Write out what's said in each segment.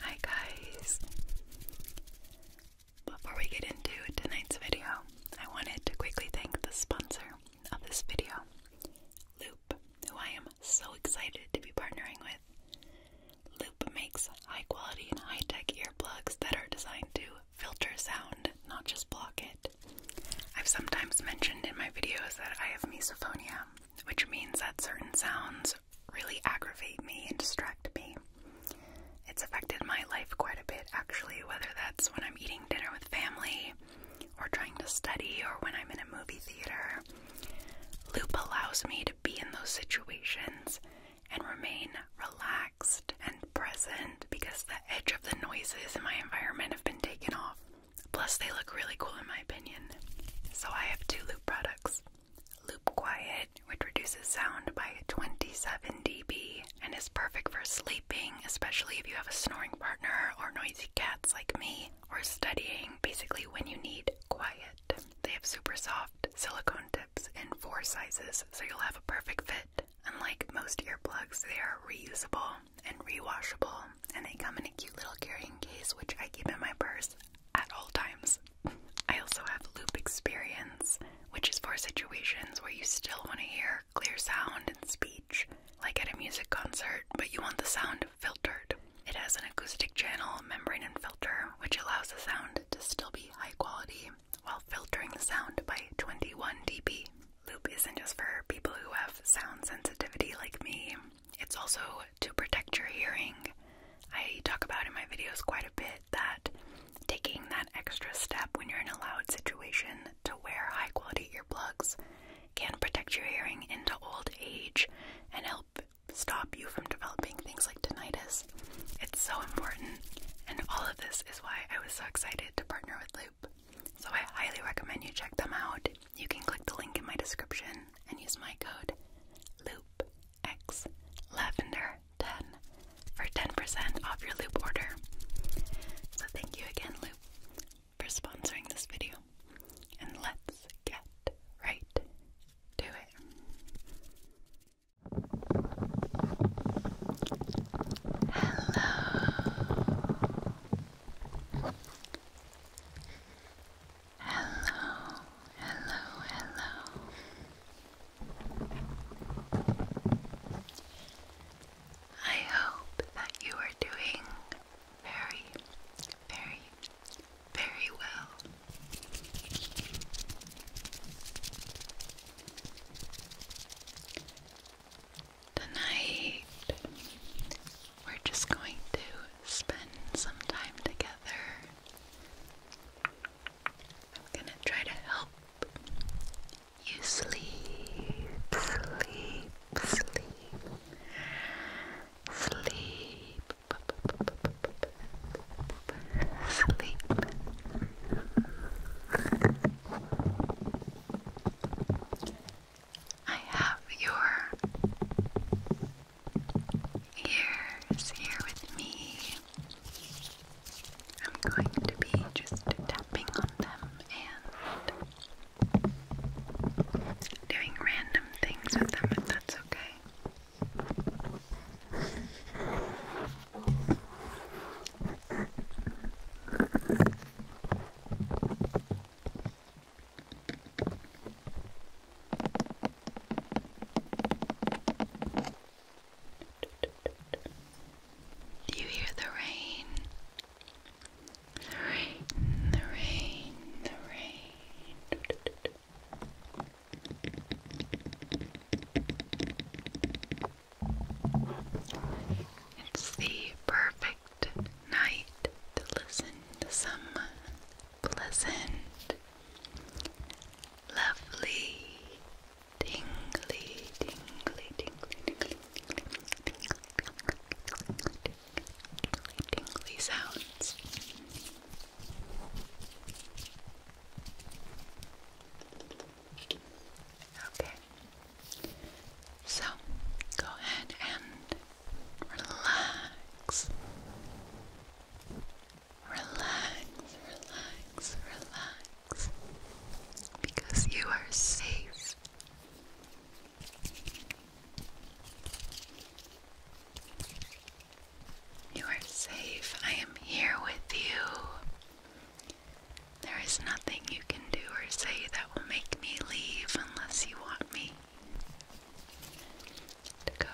Hi guys! Before we get into tonight's video, I wanted to quickly thank the sponsor of this video, Loop, who I am so excited to be partnering with. Loop makes high quality and high tech earplugs that are designed to filter sound, not just block it. I've sometimes mentioned in my videos that I have misophonia, which means that certain sounds really aggravate me and distract me. It's affected my life quite a bit, actually, whether that's when I'm eating dinner with family, or trying to study, or when I'm in a movie theater. Loop allows me to be in those situations and remain relaxed and present because the edge of the noises in my environment have been taken off. Plus, they look really cool in my opinion. So, I have two Loop products. Loop quiet, which reduces sound by 27 dB and is perfect for sleeping, especially if you have a snoring partner or noisy cats like me, or studying, basically when you need quiet. They have super soft silicone tips in four sizes, so you'll have a perfect fit. Unlike most earplugs, they are reusable and rewashable, and they come in a cute little carrying case, which I keep in my purse at all times. I also have loop experience, which is for situations where you still want to hear clear sound and speech, like at a music concert, but you want the sound filtered. It has an acoustic channel, membrane, and filter, which allows the sound to still be high quality while filtering the sound by 21 dB. Loop isn't just for people who have sound sensitivity like me. It's also to protect your hearing. I talk about in my videos quite a bit that taking that extra step when you're in a loud situation to wear high quality earplugs can protect your hearing into old age and help stop you from developing things like tinnitus. It's so important, and all of this is why I was so excited to partner with Loop. So I highly recommend you check them out you can click the link in my description and use my code LoopXLavender10 for 10% off your Loop order. So thank you again, Loop, for sponsoring this video. And let's get right to it. Hello. Hello, hello, hello. I hope that you are doing very, very, very well. Tonight, we're just going to spend some time together. I'm gonna try to help you sleep, sleep, sleep, sleep, sleep. I have your ears here with me. I'm going to be just tapping on them and doing random things with them if that's okay. Do you hear the rain? The rain, the rain, the rain. It's the perfect night to listen to some pleasant, lovely, tingly, tingly, tingly, tingly, tingly, tingly sounds. Okay. So, go ahead and Relax. Relax, relax, relax. Because you are safe. You are safe. I am here with you. There is nothing you can do or say that will make me leave unless you want me to go.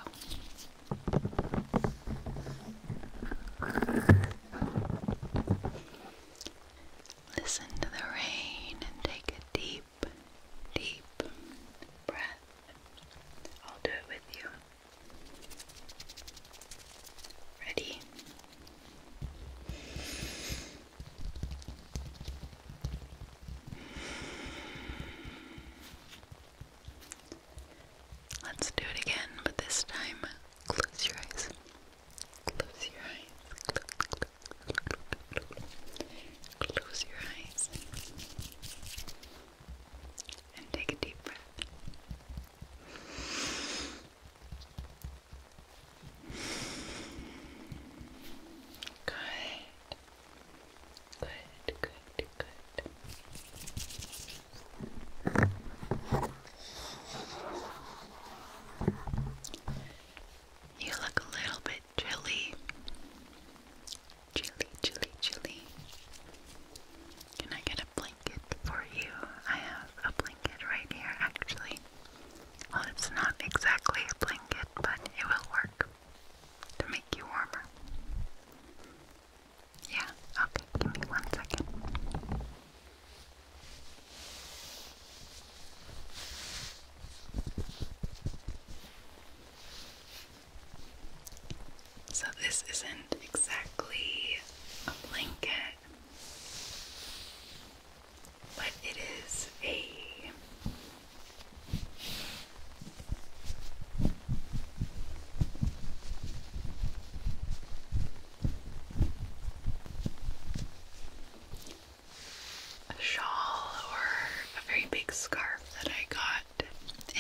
Listen to the rain and take a deep, deep breath. I'll do it with you. Ready? Let's do it again, but this time close your eyes. Close your eyes. Close, your eyes. And take a deep breath. Good. Good, good, good. You look a little bit chilly. Chilly, chilly, chilly. Can I get a blanket for you? I have a blanket right here, actually. Well, it's not exactly a blanket, but it will work to make you warmer. Yeah, okay, give me one second. So, this isn't exactly a blanket, but it is a a shawl or a very big scarf that I got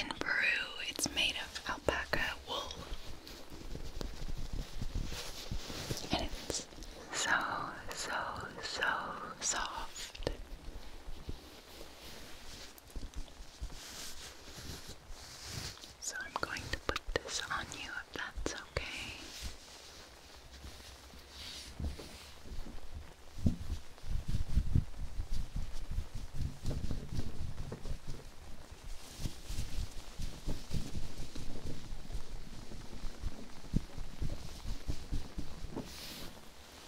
in Peru. It's made of alpaca wool. And it's so, so, so soft. So I'm going to put this on you if that's okay.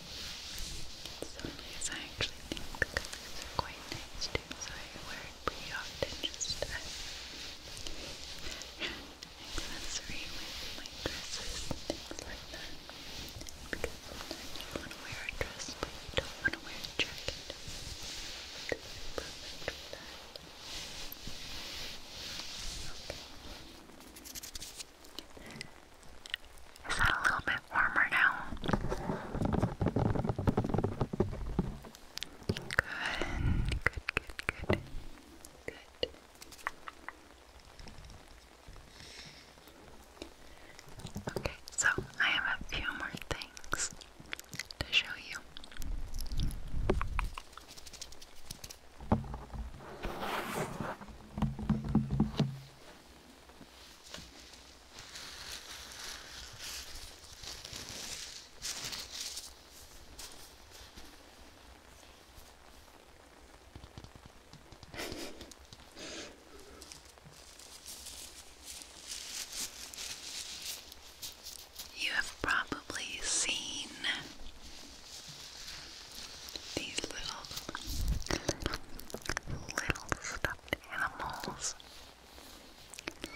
Sometimes I actually think the colors are quite nice so I wear pretty often just an accessory with my dresses and things like that. Because sometimes you want to wear a dress but you don't want to wear a jacket. Is that a little bit warmer now? Good, good, good, good, good. Okay, so I have a few more things to show you. You have probably seen these little little stars animals.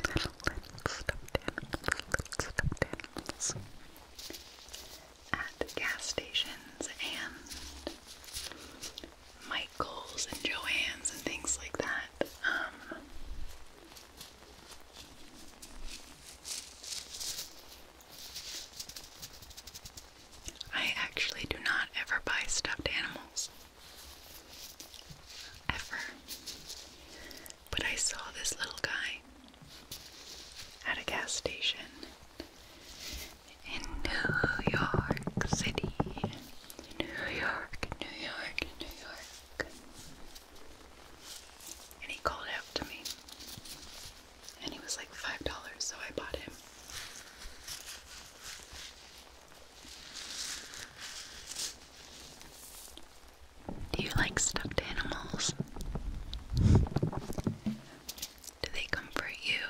Little, animals. Little animals. At gas stations and Michael's and Joann's and things like that. Um, I actually do not ever buy stuffed animals. Ever. But I saw this little guy at a gas station in New York City. New York, New York, New York. And he called out to me. And he was like $5, so I bought him. Do you like stuffed animals? Do they comfort you?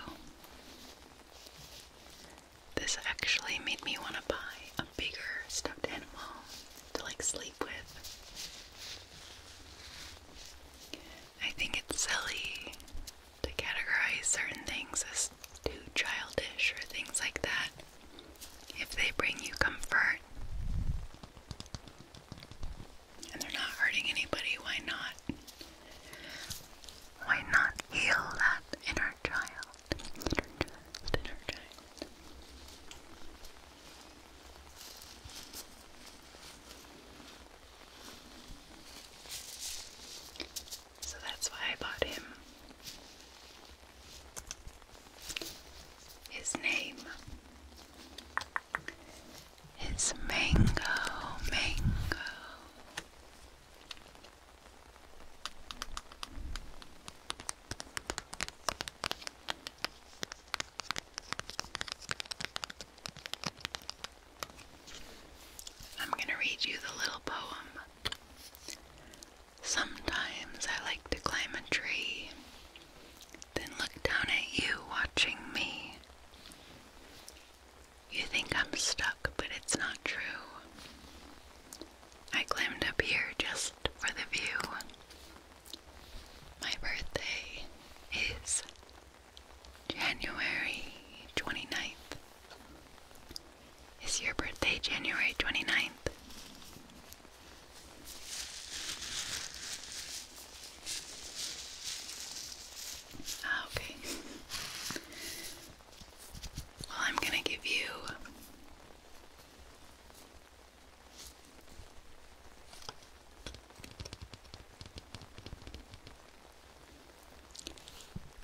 This actually made me want to buy a bigger stuffed animal to like sleep with. I think it's silly to categorize certain things as too childish or things like that if they bring you comfort and they're not hurting anybody, why not? Why not heal that inner child? inner child. So that's why I bought him. His name is Mango Mango. I'm going to read you the little poem. Sometimes I like to climb a tree, then look down at you watching me. You think I'm stuck, but it's not true. I climbed up here just for the view. My birthday is January 29th. Is your birthday January 29th? Ah, okay. Well, I'm going to give you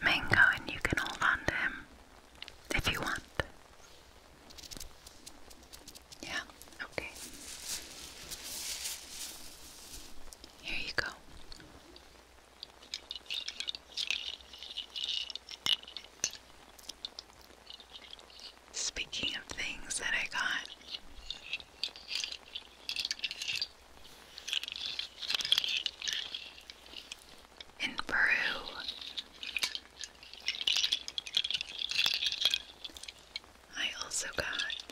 Mango, and you can hold on him if you want. Yeah, okay. Here you go. Speaking of things that I got, in Peru, I also got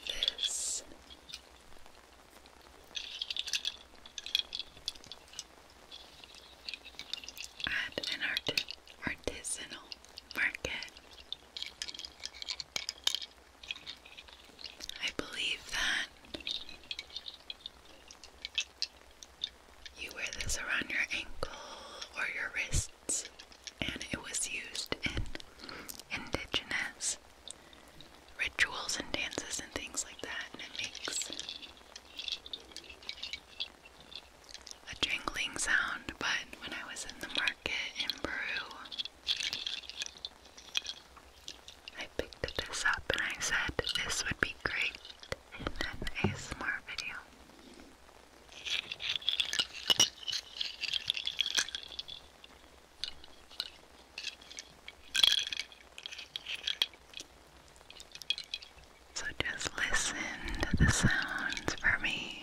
this. At an artisanal market. I believe that you wear this around your ankle or your wrists, and it was used in indigenous rituals and dances and things like that, and it makes a jingling sound. But when I was in the market in Peru, I picked this up and I said this would be great in an ASMR video. So just listen to the sounds for me.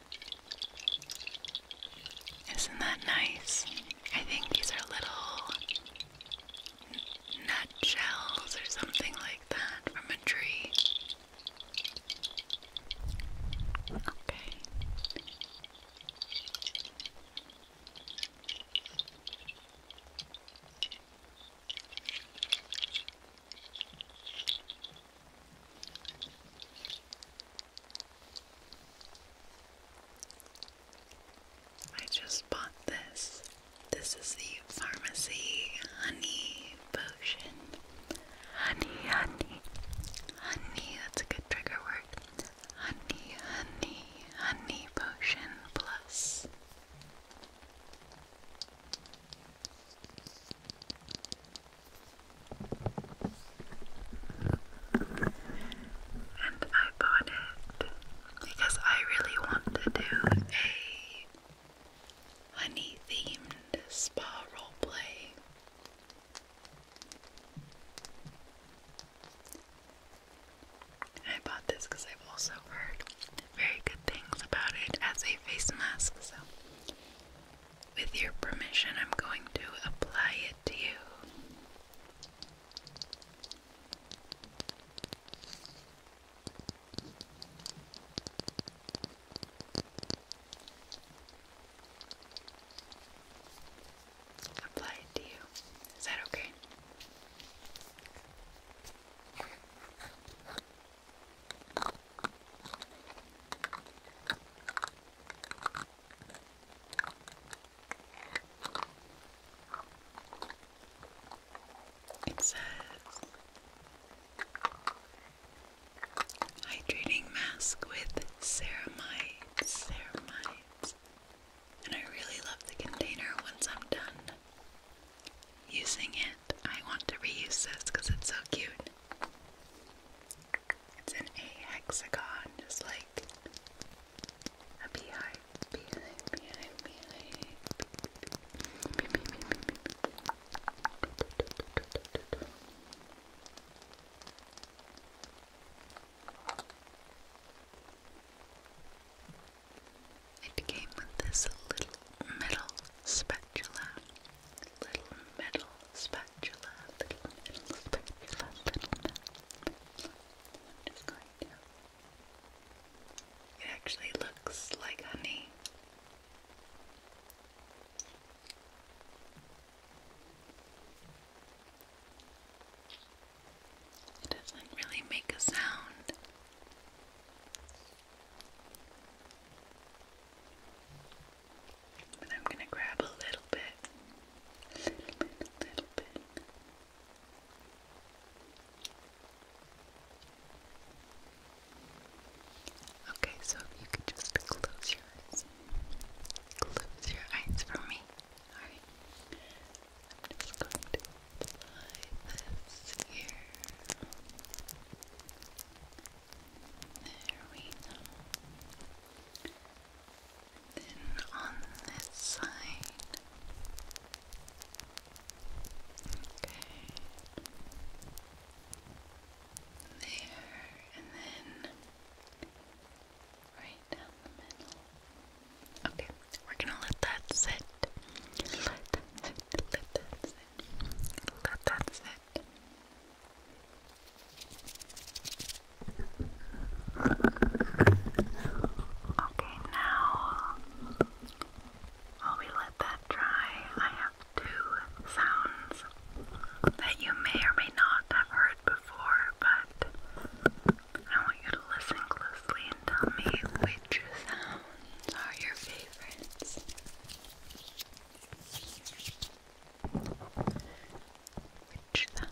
Isn't that nice? I think these are little nut shells or something like that from a tree. Okay. I just bought this. This is the pharmacy honey potion. Honey, honey, honey. That's a good trigger word. Honey, honey, honey potion plus. And I bought it because I really want to do a honey themed spa roleplay. I bought this because I've also heard very good things about it as a face mask, so with your permission, I'm going to apply it to you. Apply it to you. Is that okay? It says hydrating mask with ceramides, ceramides. And I really love the container once I'm done using it. I want to reuse this because it's so cute. It's an a hexagon, just like a beehive. It came with this little metal spatula little metal spatula, little metal spatula, little metal I'm just going to. It actually looks like honey. It doesn't really make a sound. But I'm gonna grab a little bit. little bit, little bit. Okay, so you could just close your eyes. Close your eyes for me. Alright. I'm just going to apply this here. There we go. then on this side. Okay. There, and then right down the middle. Okay, we're gonna let that sit. Let sit. Let sit. Let that sit. Okay, now while we let that dry, I have two sounds that you may or may not have heard before, but I want you to listen closely and tell me which sounds are your favorites. Which that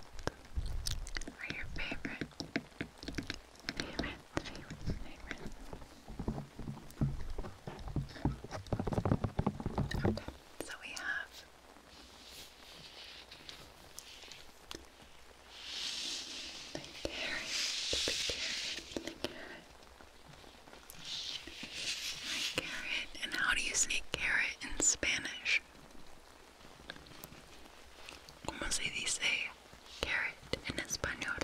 are your favorite, favorite, favorite, favorite. so we have the carrot, the carrot, the carrot. My carrot. And how do you say carrot in Spanish? ¿Cómo se dice carrot en español?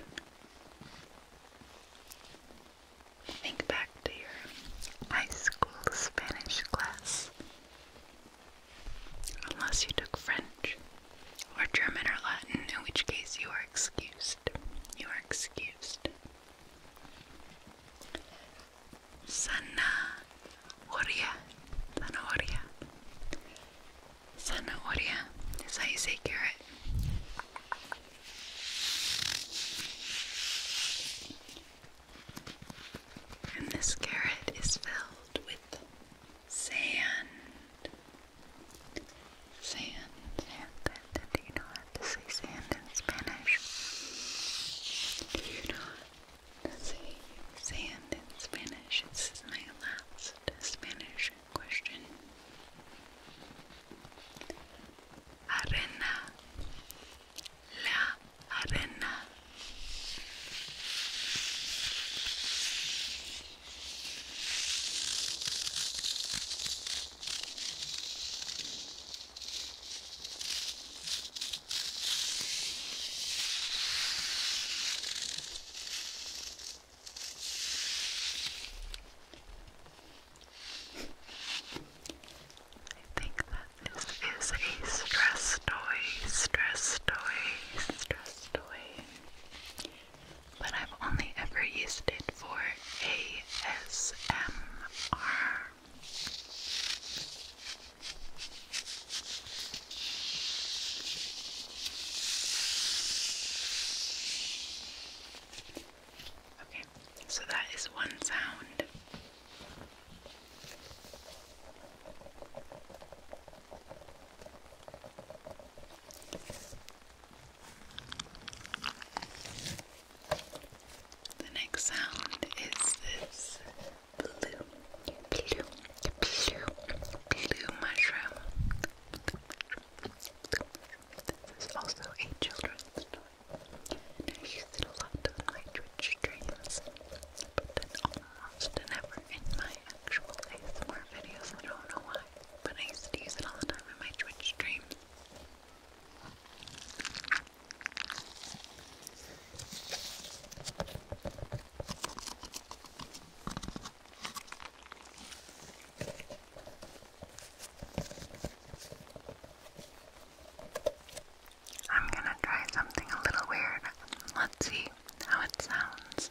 Think back to your high school Spanish class. Unless you took French or German or Latin, in which case you are excused. You are excused zanahoria, zanahoria, zanahoria is how carrot. And this carrot is filled with Sand, sand, sand, and do you know how to say sand in Spanish? how to say sand in Spanish? This is my last Spanish question. Arena. La arena. I think that this is a stress toy, stress toy, stress toy. But I've only ever used it for ASMR. Okay, so that is one sound. The next sound is this blue, blue, blue, blue mushroom. This is also a children's toy. I use it a lot on my Twitch streams, but then almost never in my actual ASMR videos. I don't know why, but I used to use it all the time in my Twitch streams. I'm gonna try something a little weird. Let's see how it sounds.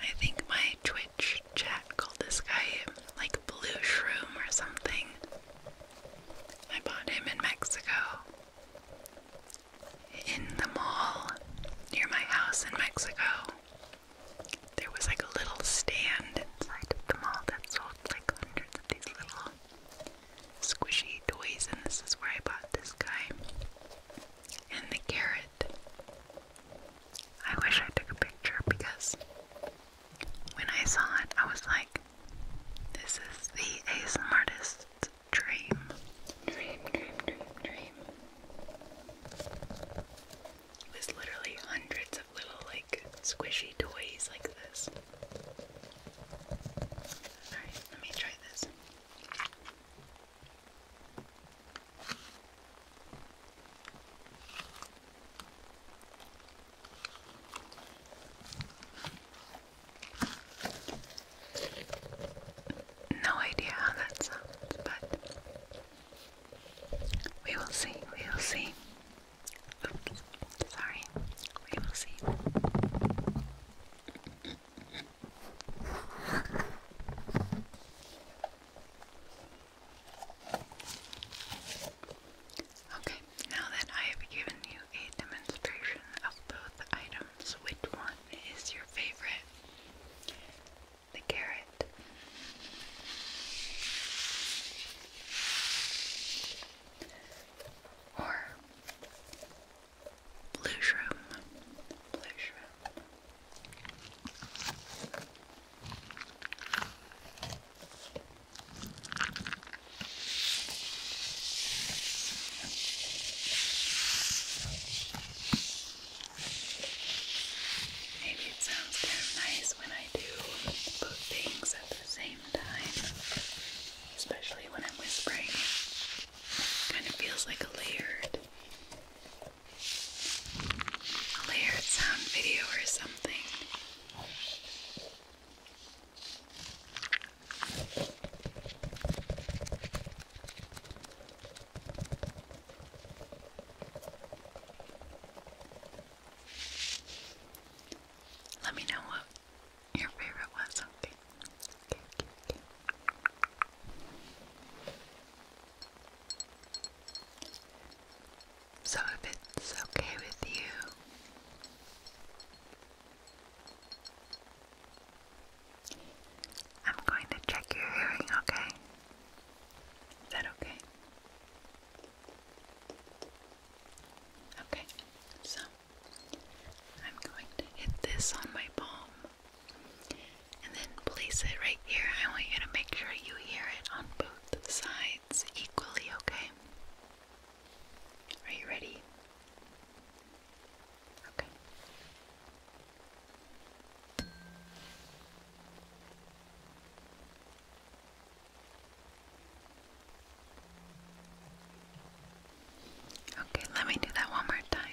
I think my Twitch chat called this guy like Blue Shroom or something. I bought him in Mexico. In the mall near my house in Mexico. There was like a little stand inside of the mall that sold like hundreds of these little squishy toys, and this is where I bought this guy. And the carrot I wish I took a picture because when I saw it, I was like, this is the ASMR artist's dream. Dream, dream, dream, dream. There's literally hundreds of little, like, squishy toys like this. Alright, let me try this. No idea how that sounds, but we will see, we will see. sorry, we will see. Okay, now that I have given you a demonstration of both items, which one is your favorite? The carrot. Or blue Maybe it sounds nice when I do both things at the same time, especially when I'm whispering. Kind of feels like layered a layered sound video or something. Let me know what your favorite was, okay? So, if it's okay with you, I'm going to check your hearing, okay? Is that okay? Okay, so I'm going to hit this on my palm. And then place it right here. I want you to make sure you hear it on both sides equally, okay? Are you ready? Okay. Okay, let me do that one more time.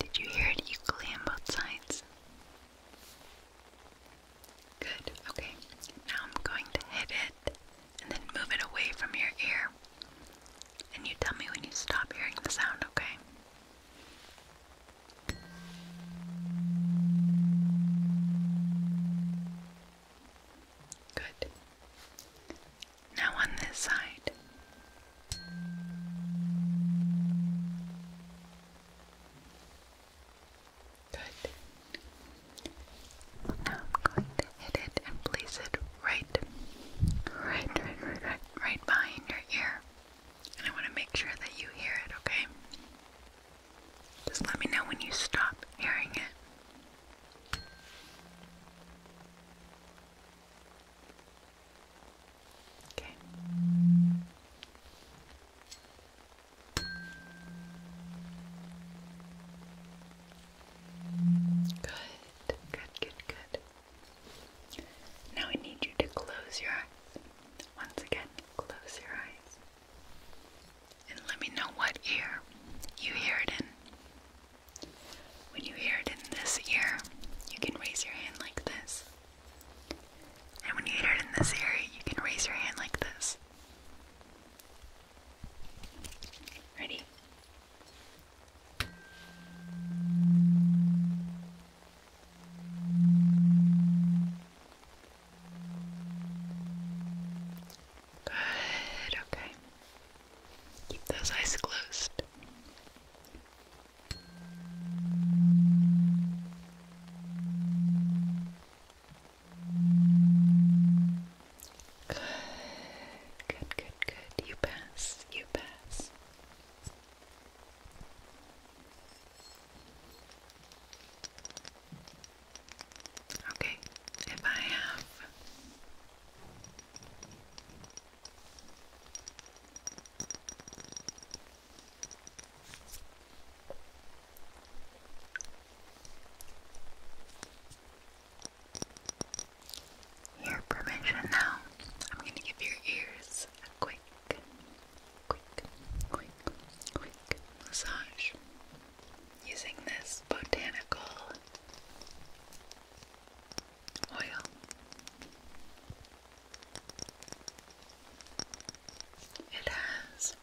Did you hear it equally on both sides? Good, okay. Now I'm going to hit it and then move it away from your ear. And you tell me when you stop hearing the sound, okay? Good. Now on this side. Good. Now I'm going to hit it and place it right, right, right, right, right, right behind your ear. And I want to make sure that you hear it, okay? Just let me know when you stop hearing it. Okay. Good, good, good, good. Now I need you to close your eyes. Once again, close your eyes. And let me know what ear you hear it in. When you hear it in this ear, you can raise your hand like this. And when you hear it in this ear, you can raise your hand like this. Ready? Good, okay. Keep those eyes closed. Good, good, good, good. You pass, you pass. Okay, if I have your permission now, I'm going to give your ears a quick, quick, quick, quick massage using this botanical oil. It has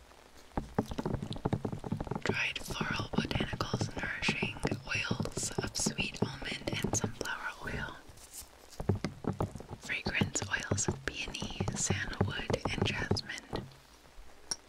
dried floral botanicals, nourishing oils of sweet almond and sunflower oil, fragrance oils of peony, sandalwood, and jasmine.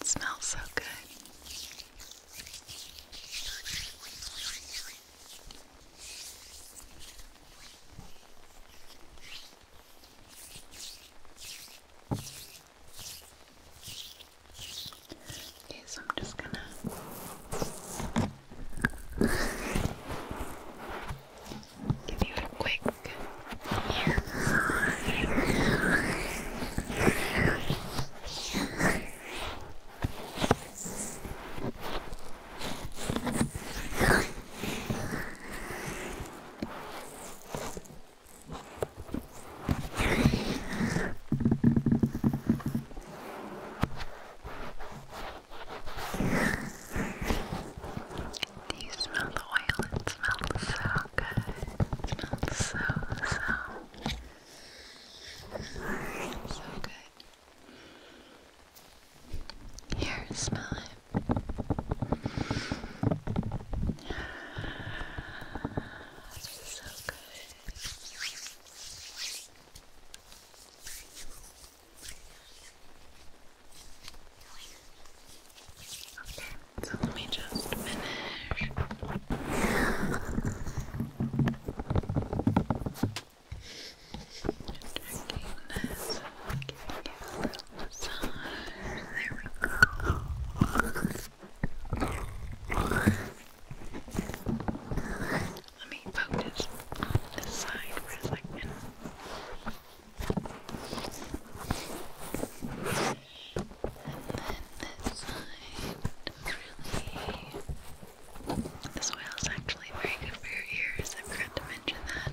It smells so good. Okay, so I'm just gonna give Do you smell the oil? smells so good. It smells so, so, so good. Here, smell it. It's so good. Okay. So let me just finish. Checking this, giving a little massage. Let me focus on this side for a second then this this oil is actually very good for your ears. I forgot to mention that.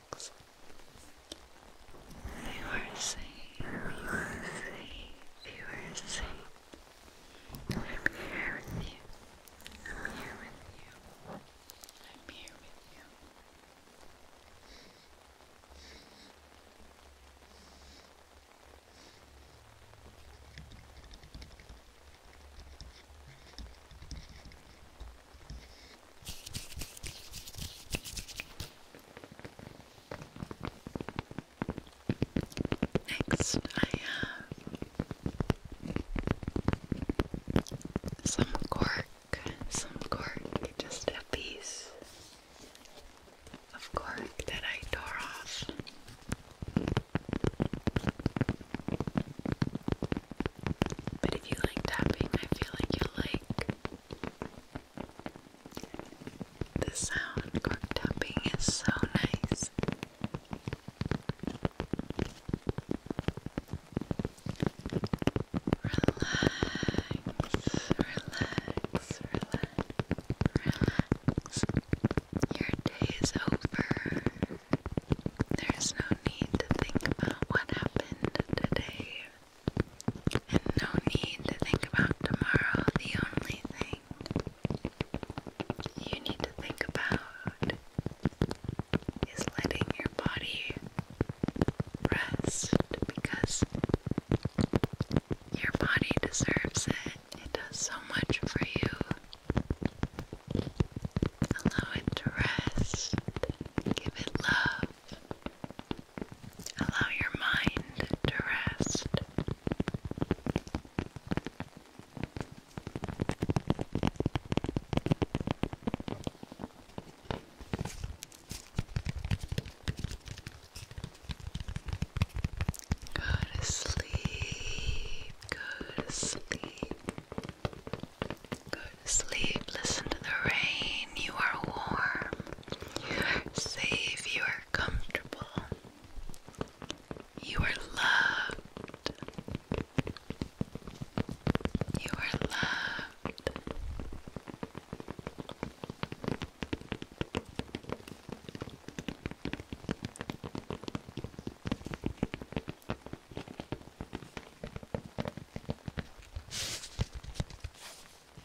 relax. You are safe. You are safe. You are safe. I'm here with you. I'm here with you. I'm here with you. Next, I have some cork, some cork, just a piece of cork that I tore off. But if you like tapping, I feel like you'll like the sound of tapping is so nice. Relax, relax, relax, relax. Your day is over. There's no need to think about what happened today. And no need to think about tomorrow. The only thing you need to think about is letting your body rest because your body deserves it. It does so much for you. Allow it to rest. Give it love. Allow your mind to rest. Go to sleep, go to sleep, go to sleep, listen to the rain, you are warm safe, you are comfortable, you are loved, you are loved.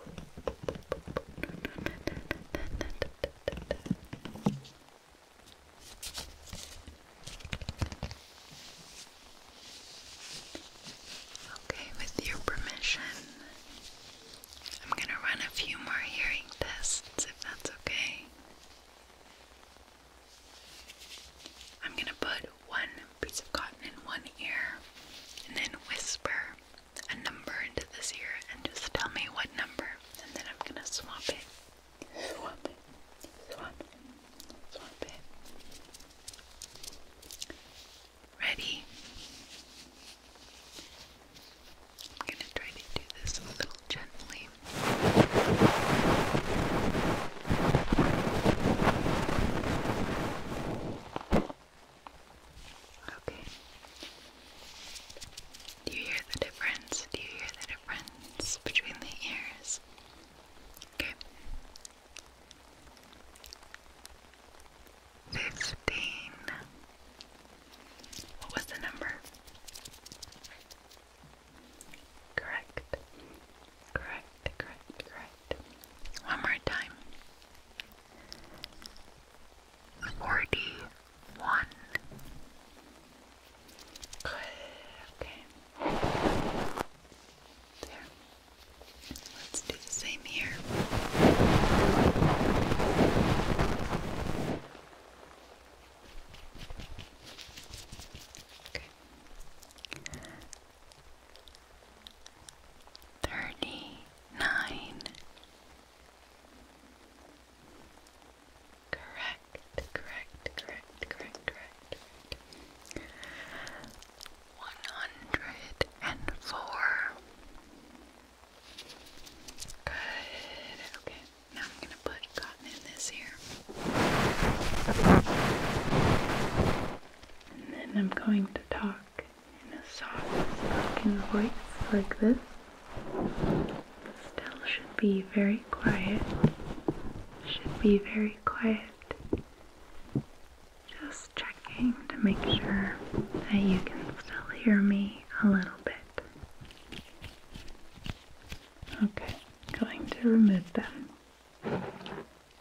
Okay, with your permission, I'm going to run a few more hearing tests if that's okay. I'm going to put one piece of cotton in one ear and then whisper a number into this ear and just tell me what number and then I'm gonna swap it. Swap it. Swap it. Swap it. Ready? I'm gonna try to do this a little gently. Okay. Do you hear the difference? Do you hear the difference between the ears? Okay. Fifteen. What was the number? Correct. Correct, correct, correct. One more time. Forty one. Okay. There. Let's do the same here. Okay. Thirty nine. Correct, correct, correct, correct, correct. One hundred and four. Good. Okay. Now I'm gonna put cotton in this here. And then I'm going to talk in a soft spoken voice like this. Still should be very quiet. Should be very quiet. Just checking to make sure that you can still hear me a little bit. Okay, going to remove them.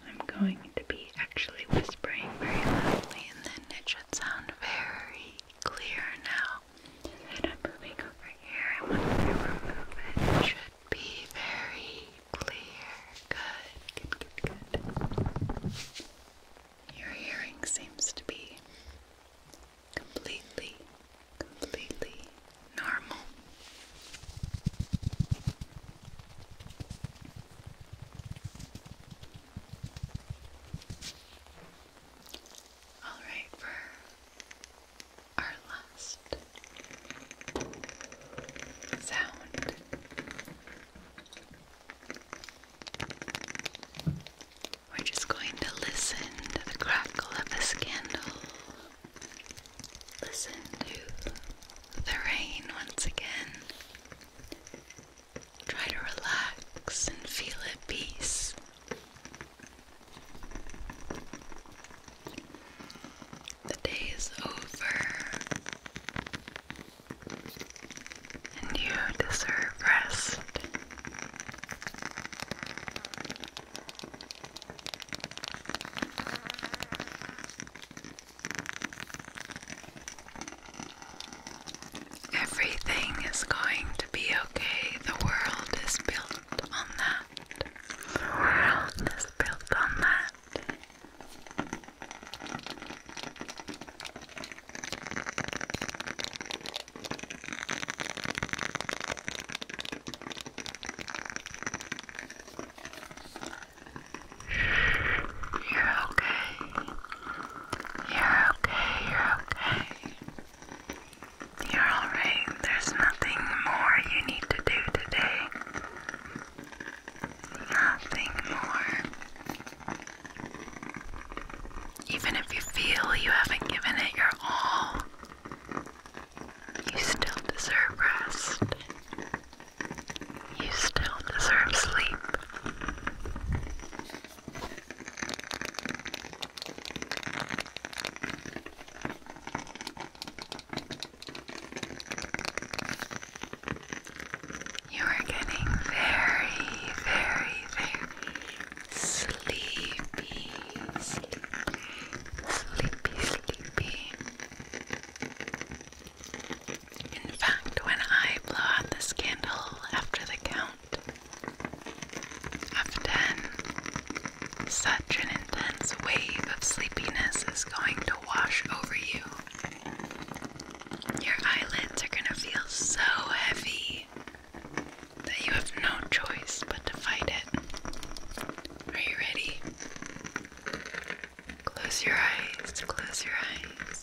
I'm going to be actually whispering very loudly and then it should sound very clear now. And I'm moving over here i and once I remove movement. it should be very clear. Good, good, good, good. Your hearing seems to be completely, completely normal. All right, for our last sound. We're just going to listen to the crackle of the candle. Listen to the rain once again. Try to relax and feel at peace. The day is over, and you deserve rest. Everything is going to be okay. The world is built on that. world is built on that. You're okay. You're okay. You're okay. You're alright. There's nothing more you need to do today. Nothing more. Even if you feel you haven't given it your all, you still deserve rest. You still deserve sleep. You are getting very, very, very sleepy, sleepy, sleepy, sleepy. In fact, when I blow out this candle after the count of ten, such an intense wave of sleepiness is going to wash over you. Your eyelids are going to feel so heavy that you have no choice but to fight it. Are you ready? Close your eyes, close your eyes.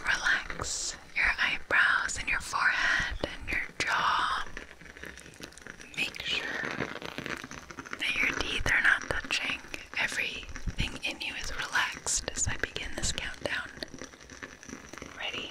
Relax your eyebrows and your forehead and your jaw. Make sure that your teeth are not touching. Everything in you is relaxed as I begin this countdown. Ready?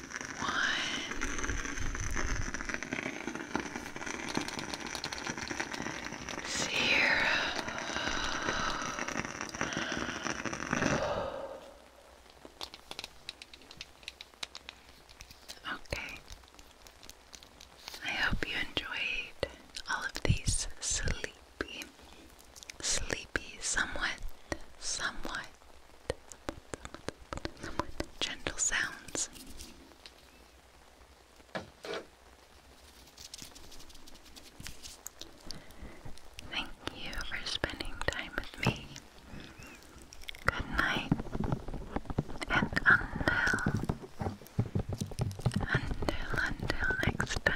one zero. Okay. I hope you enjoyed all of these sleepy, sleepy, somewhat, somewhat with gentle sounds. Thank you for spending time with me. Good night, and until, until, until next time.